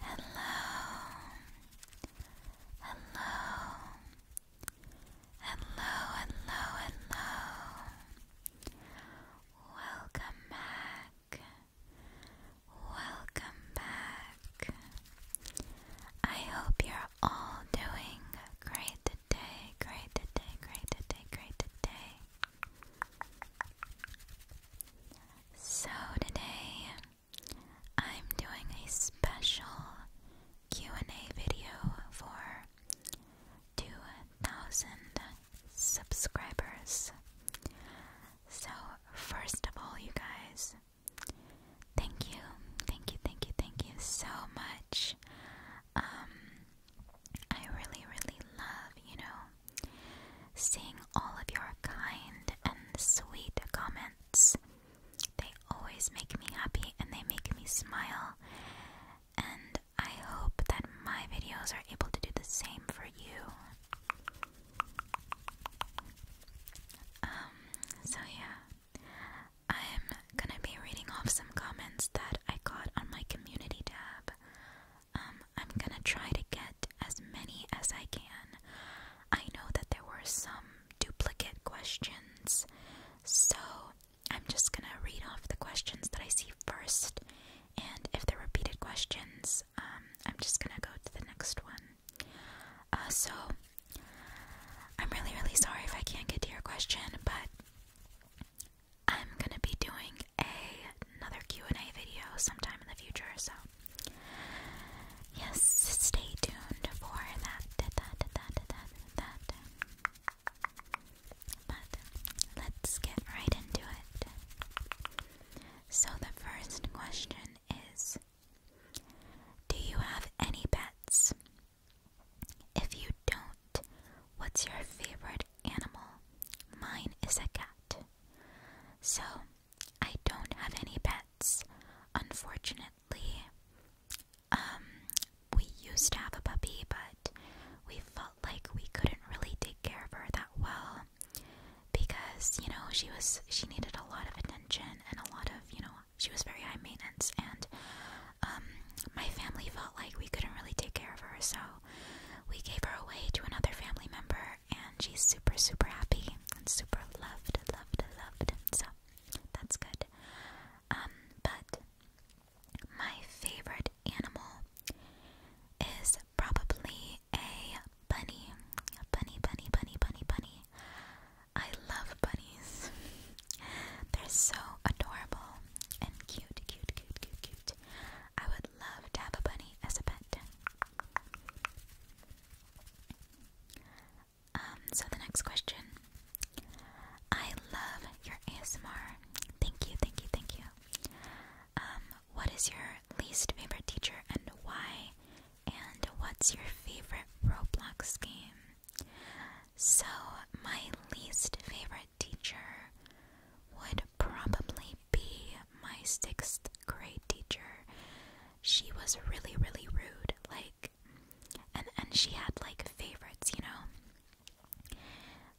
Hello, hello, hello, hello, hello. Welcome back, welcome back, I hope you're all doing great today, great today, great today, great today. So today I'm doing a special Q&A video for 2000 subscribers. So first of all, you guys, Thank you, thank you, thank you, thank you so much. Um, I really, really love, you know, seeing all of your kind and sweet comments. They always make me happy and they make me smile. And I hope that my videos are able to do the same for you. Um, so yeah, I'm gonna be reading off some comments that I got on my community tab. Um, I'm gonna try to get as many as I can. I know that there were some duplicate questions, so I'm just gonna read off the questions that I see first, and if they're repeated questions, um, I'm just gonna go to the next one. Uh, so, I'm really, really sorry if I can't get to your question, but I'm gonna be doing a, another Q&A video sometime in the future, so yes, stay tuned for that, that, that, that, that, that. But let's get right into it. So the first question is do you have any pets? If you don't, what's your favorite animal? Mine is a cat. So, I don't have any pets, unfortunately. Um, we used to have a puppy, but we felt like we couldn't really take care of her that well because you know she was she needed a lot of attention and a lot of you know she was very high maintenance and um, my family felt like we couldn't really take care of her so we gave her away to another family member and she's super super happy and super loved loved loved so that's good um, but my favorite animal is probably a bunny. Bunny, bunny, bunny, bunny, bunny. I love bunnies. They're so adorable and cute, cute, cute, cute, cute. I would love to have a bunny as a pet. Um, so the next question. I love your ASMR. Thank you, thank you, thank you. Um, what is your least favorite teacher and why? And what's your favorite Roblox game? So, my least favorite teacher would probably be my sixth grade teacher. She was really, really rude, like, and, and she had like favorites, you know?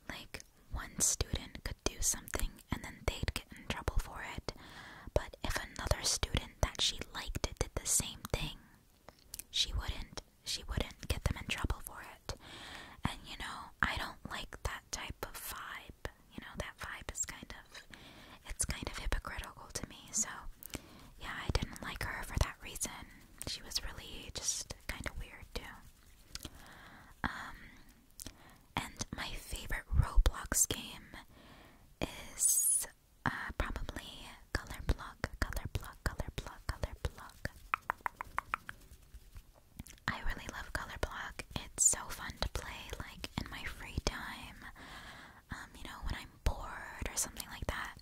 Like, one student could do something and then then they'd get in trouble for it. But if another student that she liked did the same thing, she wouldn't she wouldn't get them in trouble for it. And you know, I don't like that type of vibe. You know, that vibe is kind of it's kind of hypocritical to me. So, yeah, I didn't like her for that reason. She was really just kind of weird, too. Um and my favorite Roblox game is uh, probably Color Block, Color Block, Color Block, Color Block. I really love Color Block. It's so fun to play, like in my free time. Um, you know, when I'm bored or something like that.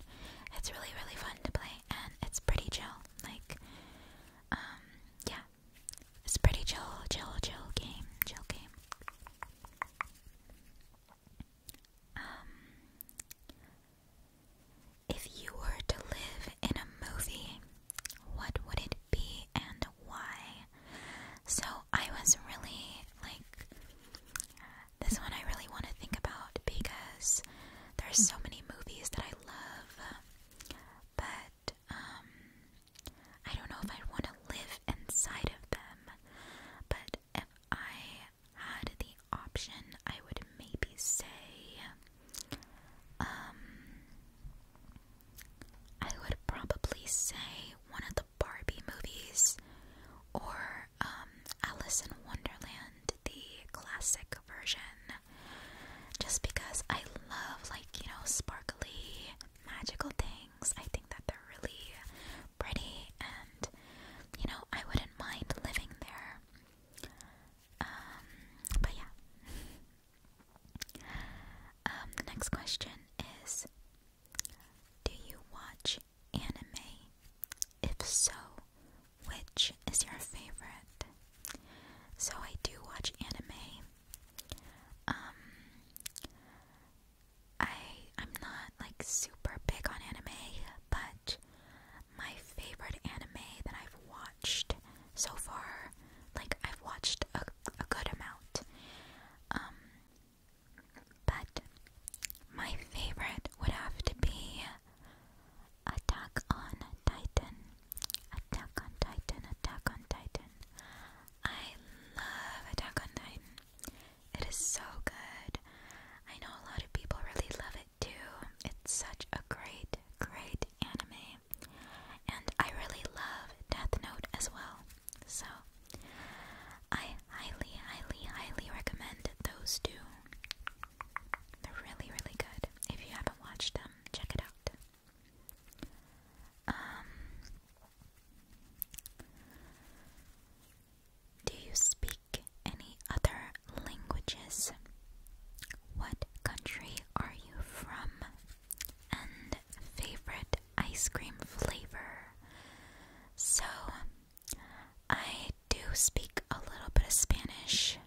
It's really, really fun to play, and it's pretty chill. Like, um, yeah, it's a pretty chill, chill, chill game, chill game. Um, if you were to live in a movie, what would it be and why? So I was really like, this one I really want to think about because there's so many movies that I love, but um, I don't know if i want to live inside of them, but if I had the option, I would maybe say, um, I would probably say one of the Barbie movies or um, Alice in Wonderland, the classic version, just because I love, like, you know, sparkly magical things. I think that they're really pretty, and you know, I wouldn't mind living there. Um, but yeah. Um, the next question is Do you watch anime? If so, which is your favorite? So I do watch anime. Um, I I'm not like super big on anime, but my favorite anime that I've watched so far, like I've watched a, a good amount. Um but my favorite would have to be Attack on Titan. Attack on Titan, Attack on Titan. I love Attack on Titan. It is so good. I know a lot of people really love it too. It's such a great, great anime. And I really love Death Note as well. So, I highly, highly, highly recommend those two. They're really, really good. If you haven't watched them, check it out. Um, do you speak any other languages? What country are you from? And favorite ice cream flavor? So, I do speak a little bit of Spanish.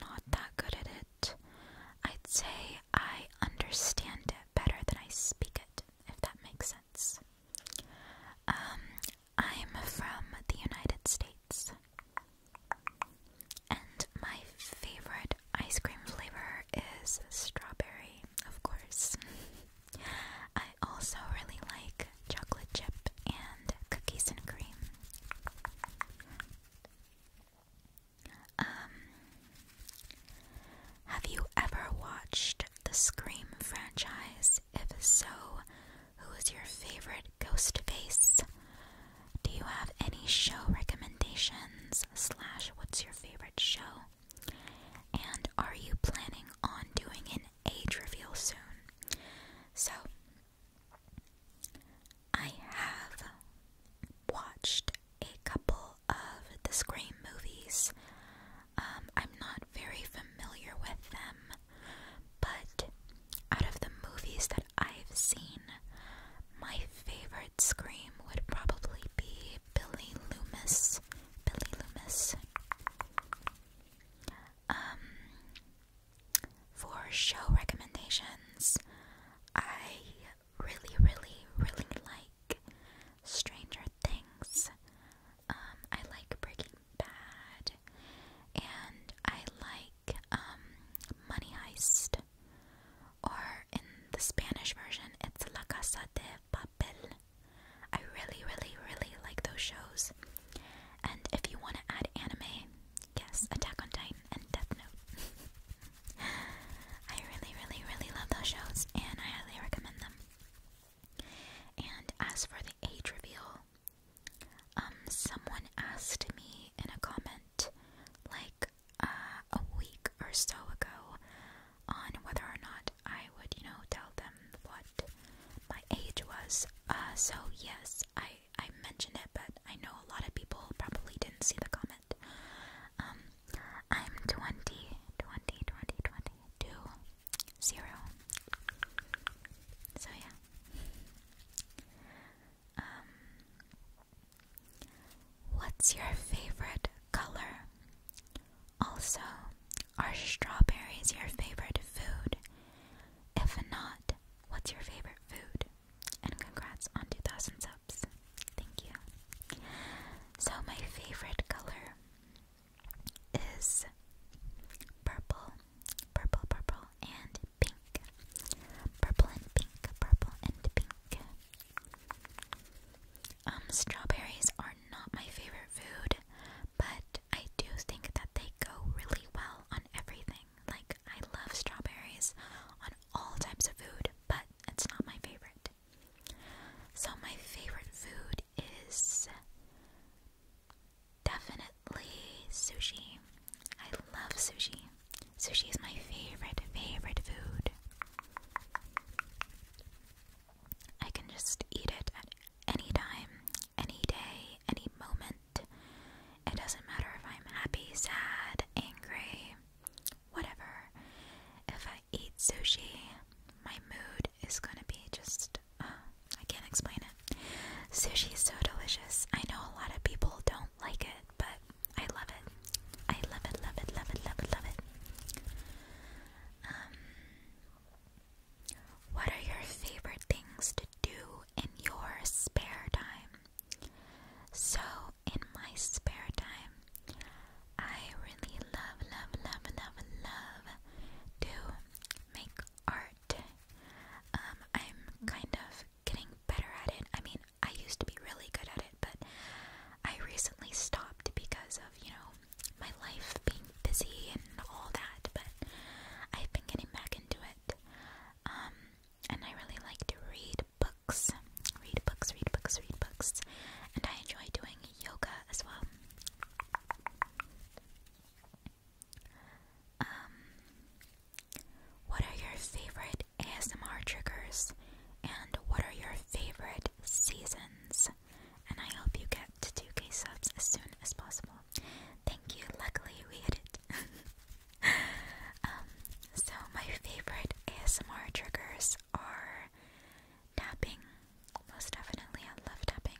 Not that good at it. I'd say I understand better than I speak it, if that makes sense. Um, I'm from the United States. And my favorite ice cream flavor is strawberry, of course. I also really like chocolate chip and cookies and cream. Um, have you ever watched the Scream franchise? If so, who is your favorite ghost face? Do you have any show recommendations? Slash, what's your favorite show? And are you planning on doing an age reveal soon? So, I have watched a couple of the Scream movies. Um, I'm not very familiar with them, but out of the movies that I've seen, my favorite Scream would probably be Billy Loomis. Billy Loomis. Um, for show recommendations, I really, really, really like. Stranger Things. Um, I like Breaking Bad, and I like um, Money Heist. Or in the Spanish version, it's La Casa de Papel. I really, really, really like those shows. And if you want to add anime, yes, Attack on Titan and Death Note. I really, really, really love those shows and I highly recommend them. And as for the age reveal, um, someone asked me in a comment like uh, a week or so ago on whether or not I would, you know, tell them what my age was. Uh, so yes, I I mentioned it, but I know a lot of people probably didn't see the comment. Um, I'm twenty-two, zero. So, yeah. Um, what's your favorite color? Also, are strawberries your favorite food? If not, what's your favorite food? And congrats on 2007. Thank you. So, my favorite color is purple, purple, purple, and pink. Purple and pink, purple and pink. Um, strawberries are not my favorite food, but I do think that they go really well on everything. Like, I love strawberries all types of food, but it's not my favorite. So, my favorite food is definitely sushi. I love sushi. Sushi is my favorite, favorite food. I can just eat it at any time, any day, any moment. It doesn't matter if I'm happy, sad, angry, whatever. If I eat sushi, my mood is gonna be just. Uh, I can't explain it. Sushi is so delicious. I know a lot of people don't like it, but I love it. I love it, love it, love it, love it, love it. Um, what are your favorite things to do in your spare time? So, in my spare time, I really love, love, love, love, love to make art. Um, I'm kind of getting better at it. I mean, I used to be really good at it, but I recently stopped because of, you know, my life being busy and all that, but I've been getting back into it. Um, and I really like to read books, read books, read books, read books, and I enjoy doing yoga as well. Um, what are your favorite ASMR triggers, and what are your favorite seasons? And I hope you get to do k subs as soon as possible. Thank you. Luckily, we hit it. Um, so my favorite ASMR triggers are tapping. Most definitely, I love tapping,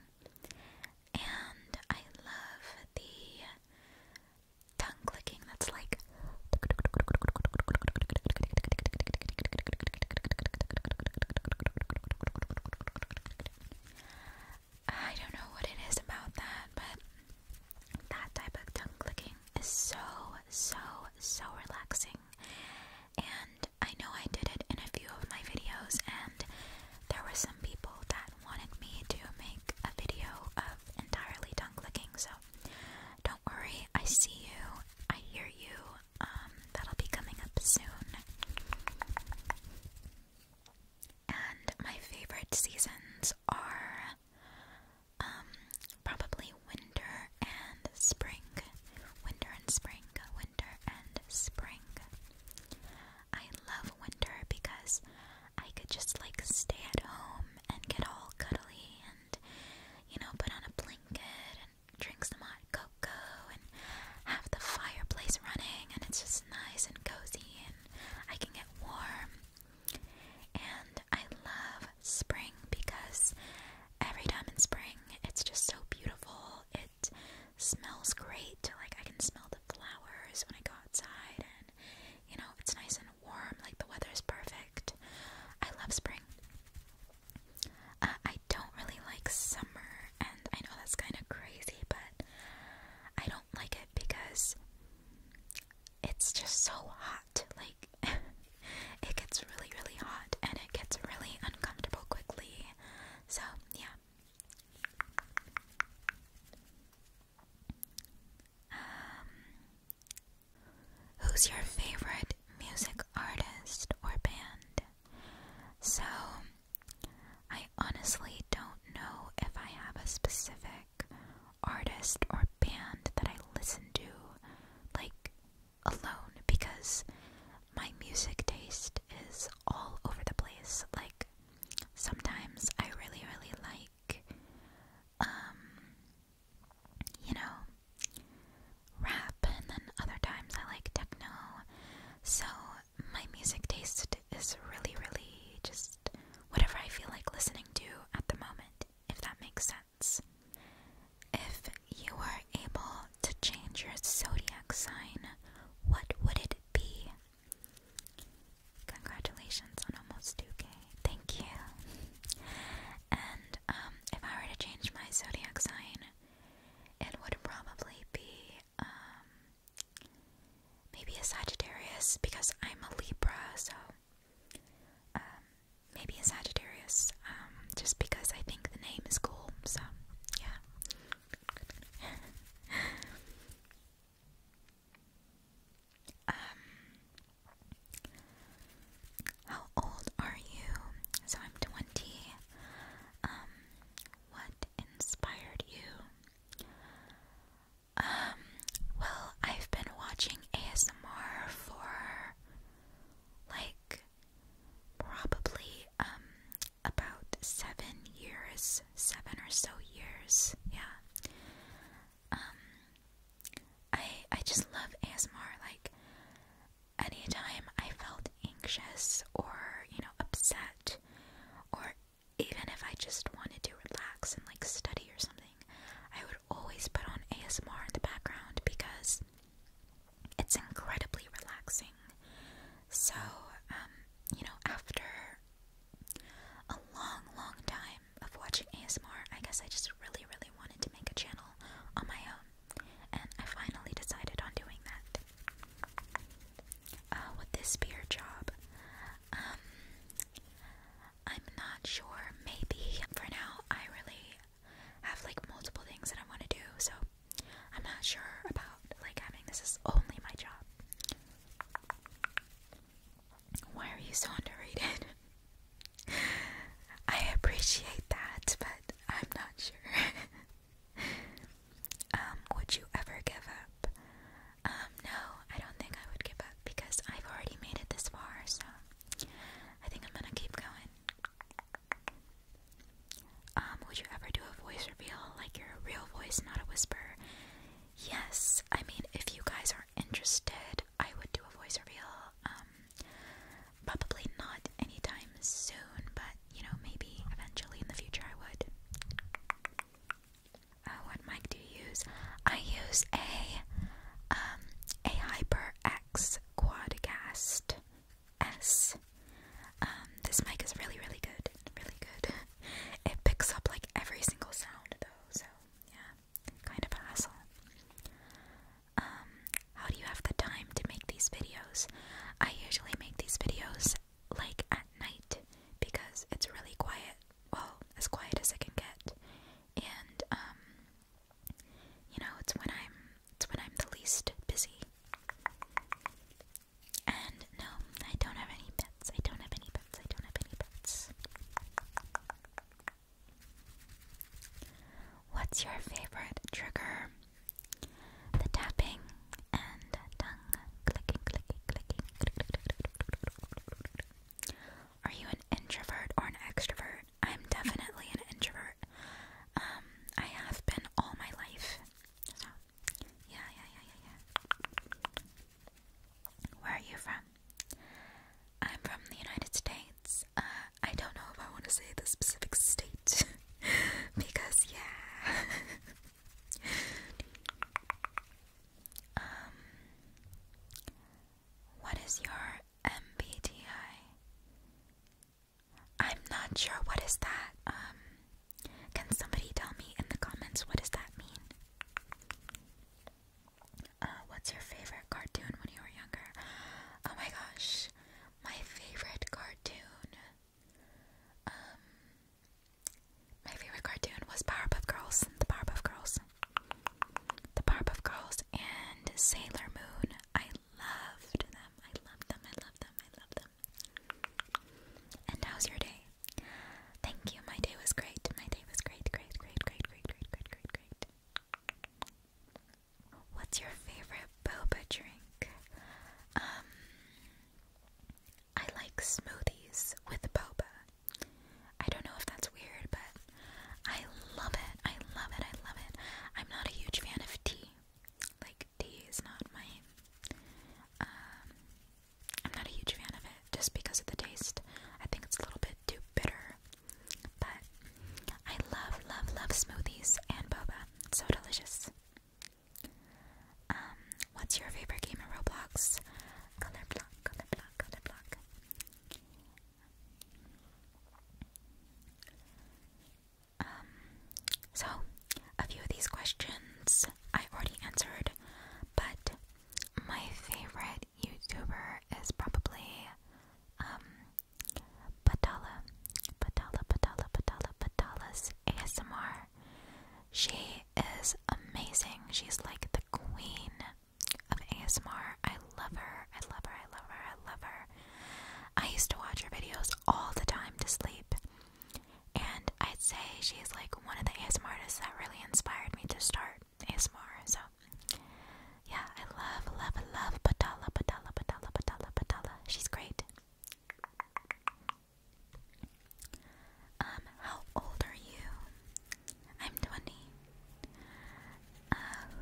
and I love the tongue clicking. That's like. I don't know what it is about that, but that type of tongue clicking is so so, so relaxing. And I know I did it in a few of my videos, and there were some people that wanted me to make a video of entirely tongue clicking, so don't worry, I see you, I hear you, um, that'll be coming up soon. And my favorite seasons are um, probably winter and spring. Winter and spring. Winter and spring. I love winter because I could just like stay at home and get all cuddly and you know put on a blanket and drink some hot cocoa and have the fireplace running and it's just nice and cozy and I can get warm. And I love spring because every time in spring it's just so beautiful. It smells great. Like I can smell the flowers when I go outside and you know, it's nice and warm, like the weather is perfect. I love spring. Uh, I don't really like summer, and I know that's kind of crazy, but I don't like it because it's just so hot. Like, it gets really, really hot and it gets really uncomfortable quickly. So, yeah. Um, who's your favorite music artist or band? So, I honestly don't know if I have a specific artist or band that I listen to like alone because my music taste is all over the place. Like sometimes I really really like um you know rap and then other times I like techno. So my music taste is really really just whatever I feel like listening to at the moment if that makes sense. If you were able to change your zodiac sign, what would it be? Congratulations on almost 2k. Thank you. And um, if I were to change my zodiac sign, it would probably be um, maybe a Sagittarius because I'm a Libra, so um, maybe a Sagittarius, um, just because I think the name is cool, so yeah. Um, how old are you? So I'm 20. what inspired you? Um, well, I've been watching ASMR for like probably um about seven years, seven or so years, yeah. Um I I just love ASMR. Like any time I felt anxious or, you know, upset or even if I just wanted to relax and like study or something, I would always put on ASMR in the background because it's incredibly relaxing. So, um, you know, after a long, long time of watching ASMR, I guess I just really, really wanted to make a channel on my own, and I finally decided on doing that. Uh, would this be your job? Um, I'm not sure. Maybe for now, I really have like multiple things that I want to do, so I'm not sure about like having this is only my job. Why are you so underrated? I appreciate that, but I'm not sure. Um, would you ever give up? Um, no, I don't think I would give up because I've already made it this far, so I think I'm gonna keep going. Um, would you ever do a voice reveal, like your real voice, not a whisper? Yes, I mean, if you guys are interested, I would do a voice reveal. Um, probably not anytime soon, but you know, maybe eventually in the future I would. Uh, what mic do you use? I use a um, a HyperX Quadcast S. Um, this mic is really really good, really good. it picks up like every single sound though, so yeah, kind of a hassle. Um, how do you have the time to make these videos? I usually make these videos like at night because it's really quiet. Well, as quiet as it can get and um you know it's when I'm it's when I'm the least busy. And no, I don't have any pets. I don't have any pets. I don't have any pets. What's your favorite trigger? The tapping and tongue clicking, clicking, clicking. Are you an introvert or an extrovert? I'm definitely an introvert. Um, I have been all my life. So, yeah, yeah, yeah, yeah, yeah. Where are you from? I'm from the United States. Uh, I don't know if I want to say the specific state because, yeah. Um, what is your MBTI? I'm not sure. What is that? Um, can somebody tell me in the comments what does that mean? Uh, what's your favorite cartoon when you were younger? Oh my gosh, my favorite cartoon. Um, my favorite cartoon was Powerpuff Girls, the Powerpuff Girls, the Powerpuff Girls, and Sailor Moon. I loved them. I loved them. I loved them. I loved them. And how's your day? Thank you. My day was great. My day was great. Great. Great. Great. Great. Great. Great. Great. Great. What's your favorite boba drink? Um, I like smoothies with boba. I don't know if that's weird, but I love it. I love it. I love it. I'm not a huge fan of tea. Like tea is not my um, I'm not a huge fan of it just because of the taste. I think it's a little bit too bitter. But I love, love, love smoothies and boba. So delicious. Um, what's your favorite game in Roblox? block, other block. Um, so, a few of these questions I already answered, but my favorite YouTuber is probably um, Patala, Patala, Patala, Patala, Patala's ASMR. She is amazing. She's like the queen of ASMR. I love her. I love her. I love her. I love her. I used to watch her videos all the time to sleep. And I'd say she's like one of the ASMR artists that really inspired me to start ASMR. So, yeah, I love, love, love Patala, Patala, Patala, Patala, Patala. She's great. Um, how old are you? I'm 20. Uh,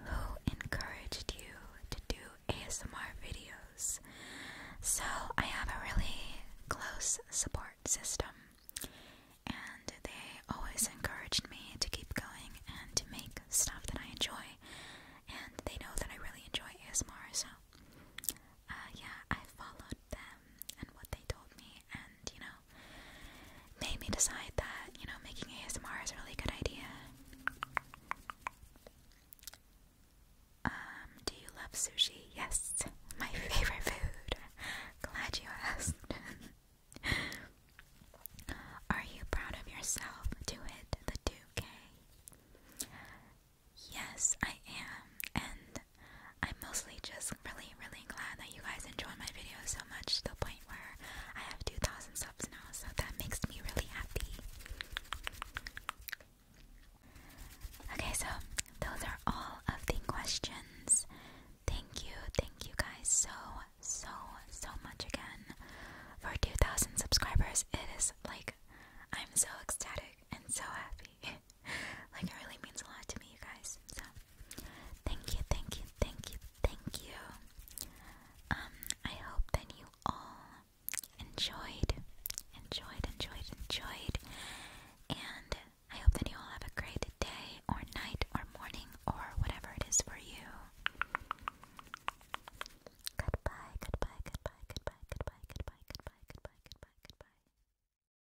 who encouraged you to do ASMR videos? So, I have a really close support system, and they always encouraged me to keep going and to make stuff that I enjoy, and they know that I really enjoy ASMR, so. Uh, yeah, I followed them and what they told me, and you know, made me decide that, you know, making ASMR is a really good idea. Um, do you love sushi? Yes, my favorite food. Glad you asked. Are you proud of yourself to hit the 2 Yes, I am, and I'm mostly just really, really glad that you guys enjoy my videos so much to the point where I have 2,000 subs now, so that makes me really happy. Okay, so those are all of the questions. Thank you, thank you guys so, so, so much again for 2,000 subscribers. It is like I'm so ecstatic and so happy me. like it really means a lot to me, you guys. So thank you, thank you, thank you, thank you. Um, I hope that you all enjoyed, enjoyed, enjoyed, enjoyed, and I hope that you all have a great day or night or morning or whatever it is for you. Goodbye, goodbye, goodbye, goodbye, goodbye, goodbye, goodbye, goodbye, goodbye, goodbye.